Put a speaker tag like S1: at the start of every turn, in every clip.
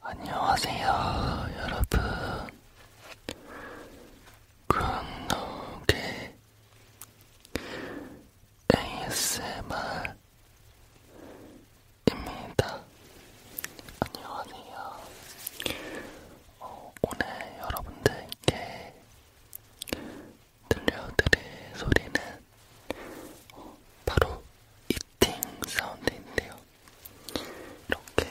S1: 안녕하세요, 여러분. 군노게 ASMR입니다. 안녕하세요. 어, 오늘 여러분들께 들려드릴 소리는 어, 바로 이팅 사운드인데요. 이렇게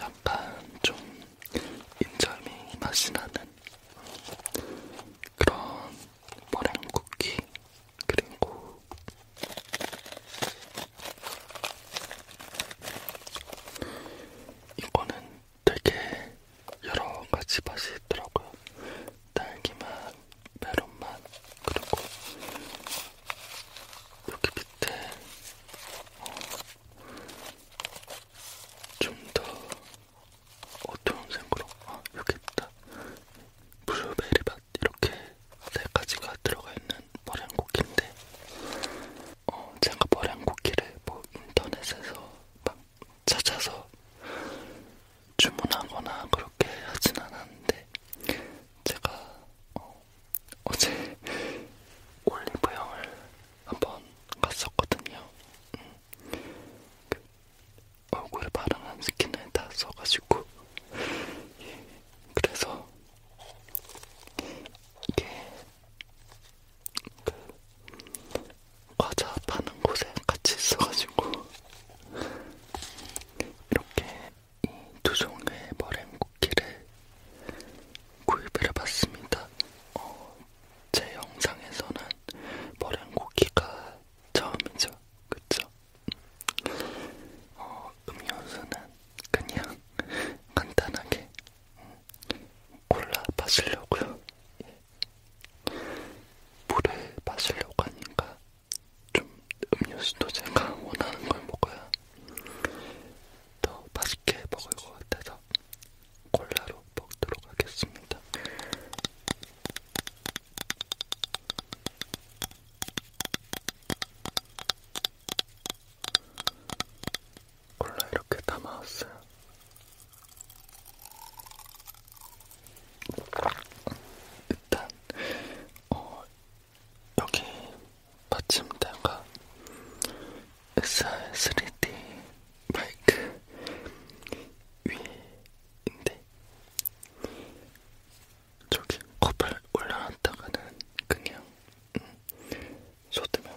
S1: 약간 좀 인절미 맛이 나는 그런 머랭 쿠키 그리고 이거는 되게 여러 가지 맛이 있더라고요. 딸기맛, 메론맛, 그리고 여기 밑에 어, 좀더 어두운 색으로 아 여기 있다. 블루베리 맛 이렇게 네 가지가 들어가 있는 머랭쿠키인데 어, 제가 머랭쿠키를 뭐 인터넷에서 막 찾아서 주문하거나 그렇게 하진 않았는데 제가 어, 어제 올리브영을 한번 갔었거든요. 음, 그 얼굴에 바른 스킨을 다 써가지고 예, 그래서 이게 그 과자 파는 곳에 같이 있어가지고 이렇게 이두 종의 머랭 쿠키를 구입을 해봤습니다. 어, 제 영상에서는 머랭 쿠키가 처음이죠, 그쵸? 어, 음료수는 그냥 간단하게 골라마시려고요. 예. 물을 마시려고 하니까 좀 음료수도 제가 원하는 걸 먹어야 더 맛있게 먹을 것 같아서 콜라로 먹도록 하겠습니다. 원래 이렇게 담아왔어요. 일단 어, 여기 받침대가 SR 3D 마이크 위인데 저기 컵을 올려놨다가는 그냥 음, 쏟으면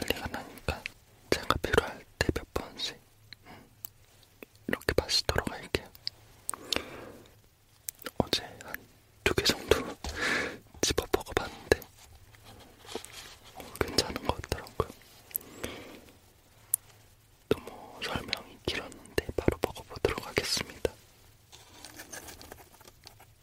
S1: 난리가 나니까 제가 필요할 때 몇 번씩 음, 이렇게 마시도록 할게요. 어제 한 두 개 정도 집어 먹어봤는데 어, 괜찮은 것 같더라고요. 너무 뭐 설명이 길었는데 바로 먹어보도록 하겠습니다.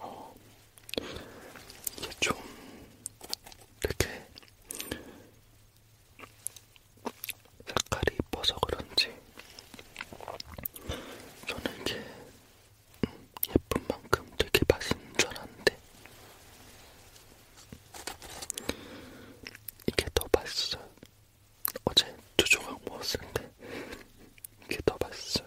S1: 어, 이게 좀 이렇게 색깔이 이뻐서 그런지 저는 이게 음, 예쁜 만큼 되게 맛있는 줄 알았는데 이게 더 맛있어요. 어제 두 조각 먹었는데 이게 더 맛있어요.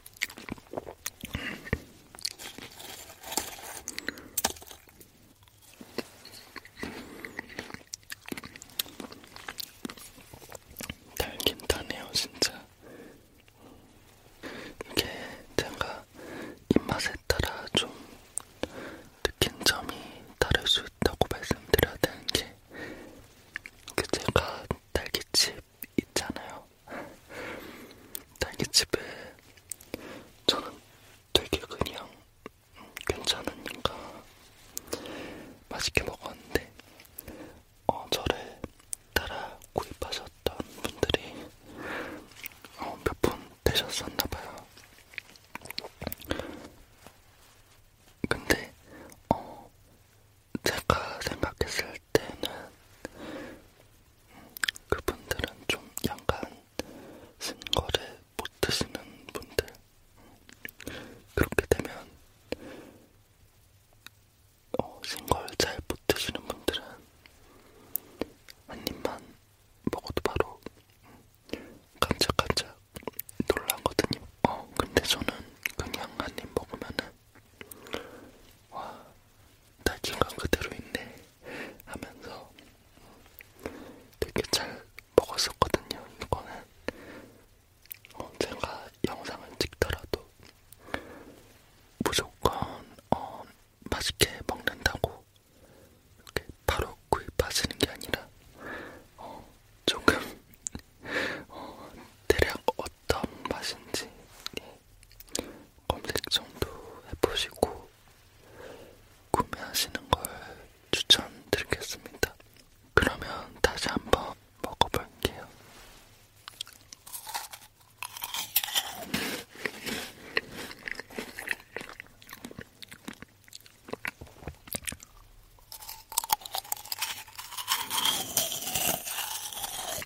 S1: 달긴 타네요 진짜 이게 제가 입맛에 따라 좀 느낀 점이 다를 수 있다고 말씀드려야 되는 게그 제가 딸기칩 있잖아요. 딸기집에 저는 되게 그냥 괜찮으니까 맛있게 먹었는데 어, 저를 따라 구입하셨던 분들이 어, 몇분 되셨었나봐요. 근데 어, 제가 생각했을 할 때는 그분들은 좀 약간 쓴 거를 못 드시는 분들 그렇게 되면 어, 신걸잘못 드시는 분들은 한 입만 먹어도 바로 깜짝깜짝 놀라거든요. 어, 근데 저는 그냥 한입 먹으면은 와, 달콤한 그대로 있네 하면서 되게 잘 먹었었거든요. 이거는 어, 제가 영상을 찍더라도 무조건 어, 맛있게 먹는다고 이렇게 바로 구입하시는 게 아니라 어, 조금 어, 대략 어떤 맛인지 예, 검색정도 해보시고 구매하시는 걸 추천드리겠습니다. 그러면 다시 한번 먹어볼게요.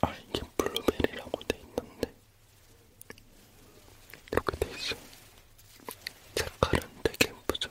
S1: 아 이게 블루베리라고 돼 있는데 이렇게 돼 있어. 색깔은 되게 예쁘죠.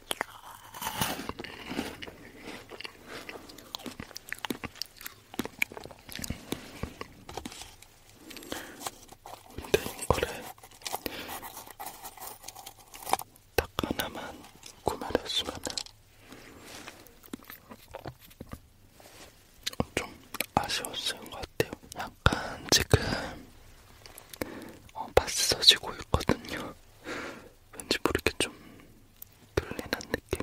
S1: 근데 이거를 딱 하나만 구매를 했으면은 좀 아쉬웠을 것 같아요. 약간 지금 어, 맛있어지고 있거든요. 왠지 모르게 좀 들리는 느낌.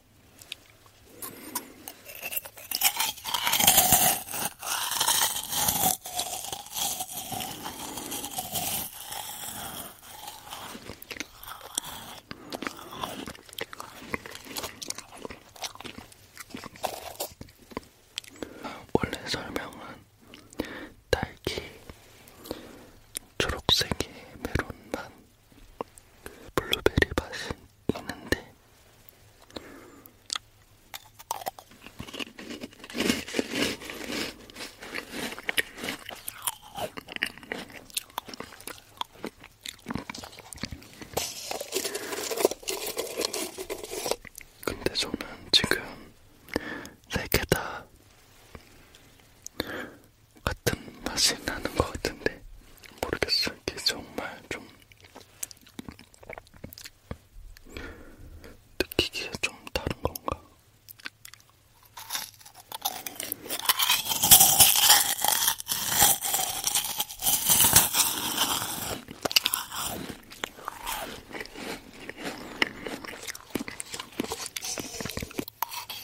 S1: 원래 설명은 딸기, 초록색의 메론맛, 블루베리 맛이 있는데 근데 저는 지금 세개다 같은 맛이 나는 것 같은데 모르겠어요. 이게 정말 좀 느끼기에 좀 다른 건가?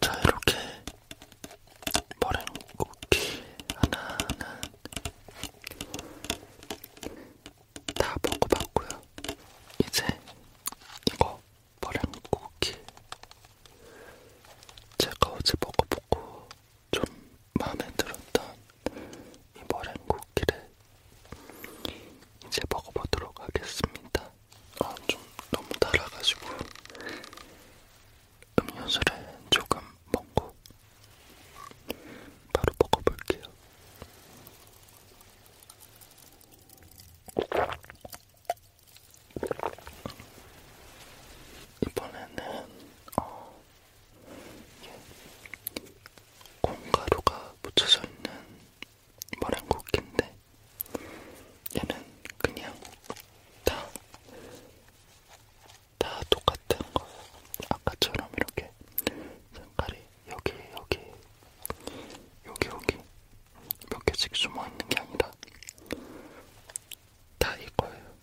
S1: 자, 이렇게 머랭 쿠키 하나는 다 먹어봤고요. 이제 이거 머랭 쿠키 제가 어제 먹어보고 좀 마음에 들었던 이 머랭 쿠키를 이제 먹어보도록 하겠습니다. 아, 좀 너무 달아가지고 음료수를 조금 먹고 바로 먹어볼게요. 이번에는 어, 콩가루가 묻혀져 있는 머랭쿠키인데 얘는 그냥 다, 다 똑같은 거예요. 아까처럼 이렇게 색깔이 여기, 여기, 여기, 여기 몇 개씩 숨어 있는 게 아니라 다 이거예요.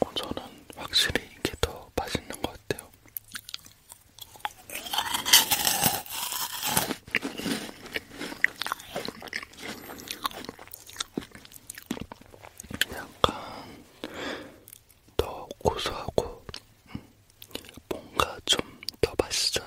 S1: 어, 저는 확실히 이게 더 맛있는 것 같아요. 약간 더 고소하고 음, 뭔가 좀 더 맛있어요.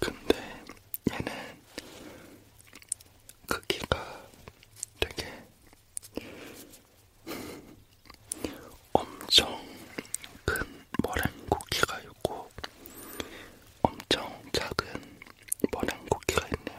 S1: 근데 얘는 크기가 그 되게 엄청 큰 머랭쿠키가 있고 엄청 작은 머랭쿠키가 있네요.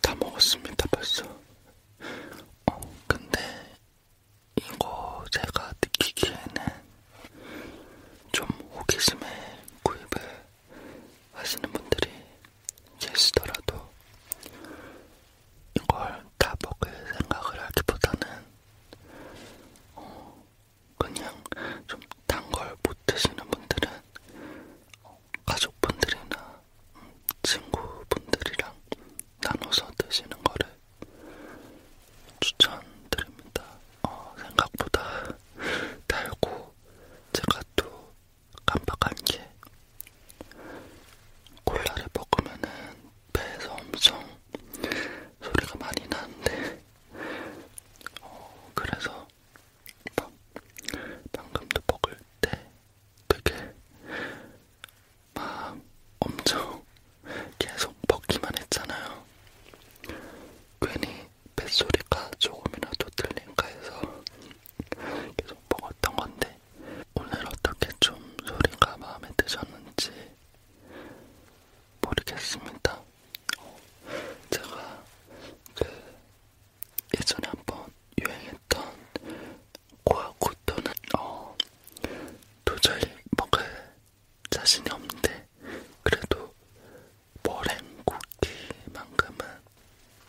S1: 다 먹었습니다, 벌써. 어, 근데 이거 제가 느끼기에는 좀 호기심에 구입을 하시는 분들이 계시더라도 이걸 다 먹을 생각을 하기보다는 어, 그냥 좀 단 걸 못 드시는 분들은 어, 가족분들이나 친구분들이랑 나눠서 드시는 거를 추천드립니다. 어, 생각보다 달고 제가 또 깜빡한 게 콜라를 먹으면은 배에서 엄청 소리가 많이 나는데 어, 그래서 방금도 먹을 때 되게 막 엄청 계속 벗기만 했잖아요. 괜히 뱃소리가 조금이라도 들린가 해서 계속 먹었던 건데 오늘 어떻게 좀 소리가 마음에 드셨는지 모르겠습니다. 어, 제가 그 예전에 한번 유행했던 고아코토는 어, 도저히 먹을 자신이 없는데 그래도 머랭쿠키만큼은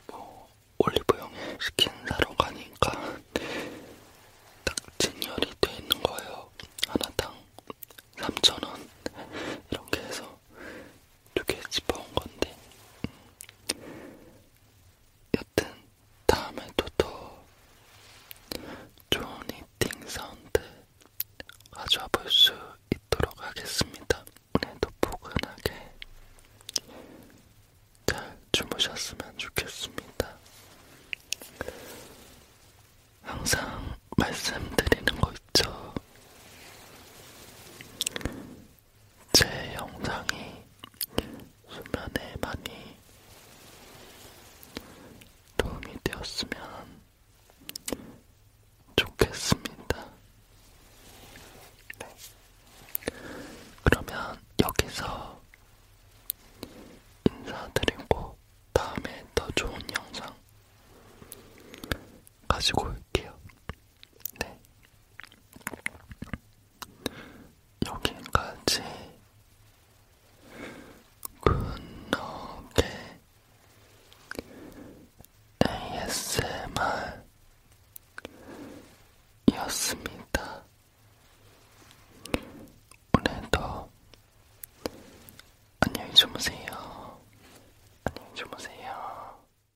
S1: 뭐 올리브영에 치킨 사러 가니까 딱 진열이 돼 있는 거예요. 하나당 3,000원 이렇게 해서 두개 집어온 건데 음. 여튼 다음에도 더 좋은 이팅 사운드 가져와 볼 수 있도록 하겠습니다. 오늘도 포근하게 잘 주무셨으면 좋겠습니다. 항상 말씀드리는 거 있죠. 제 영상이 수면에 많이 도움이 되었으면 좋겠습니다. 네. 그러면 여기서 인사드리고 다음에 더 좋은 영상 가지고 올게요. 네. 여기까지 굿노게 ASMR이었습니다. 오늘도 안녕히 주무세요. 안녕히 주무세요.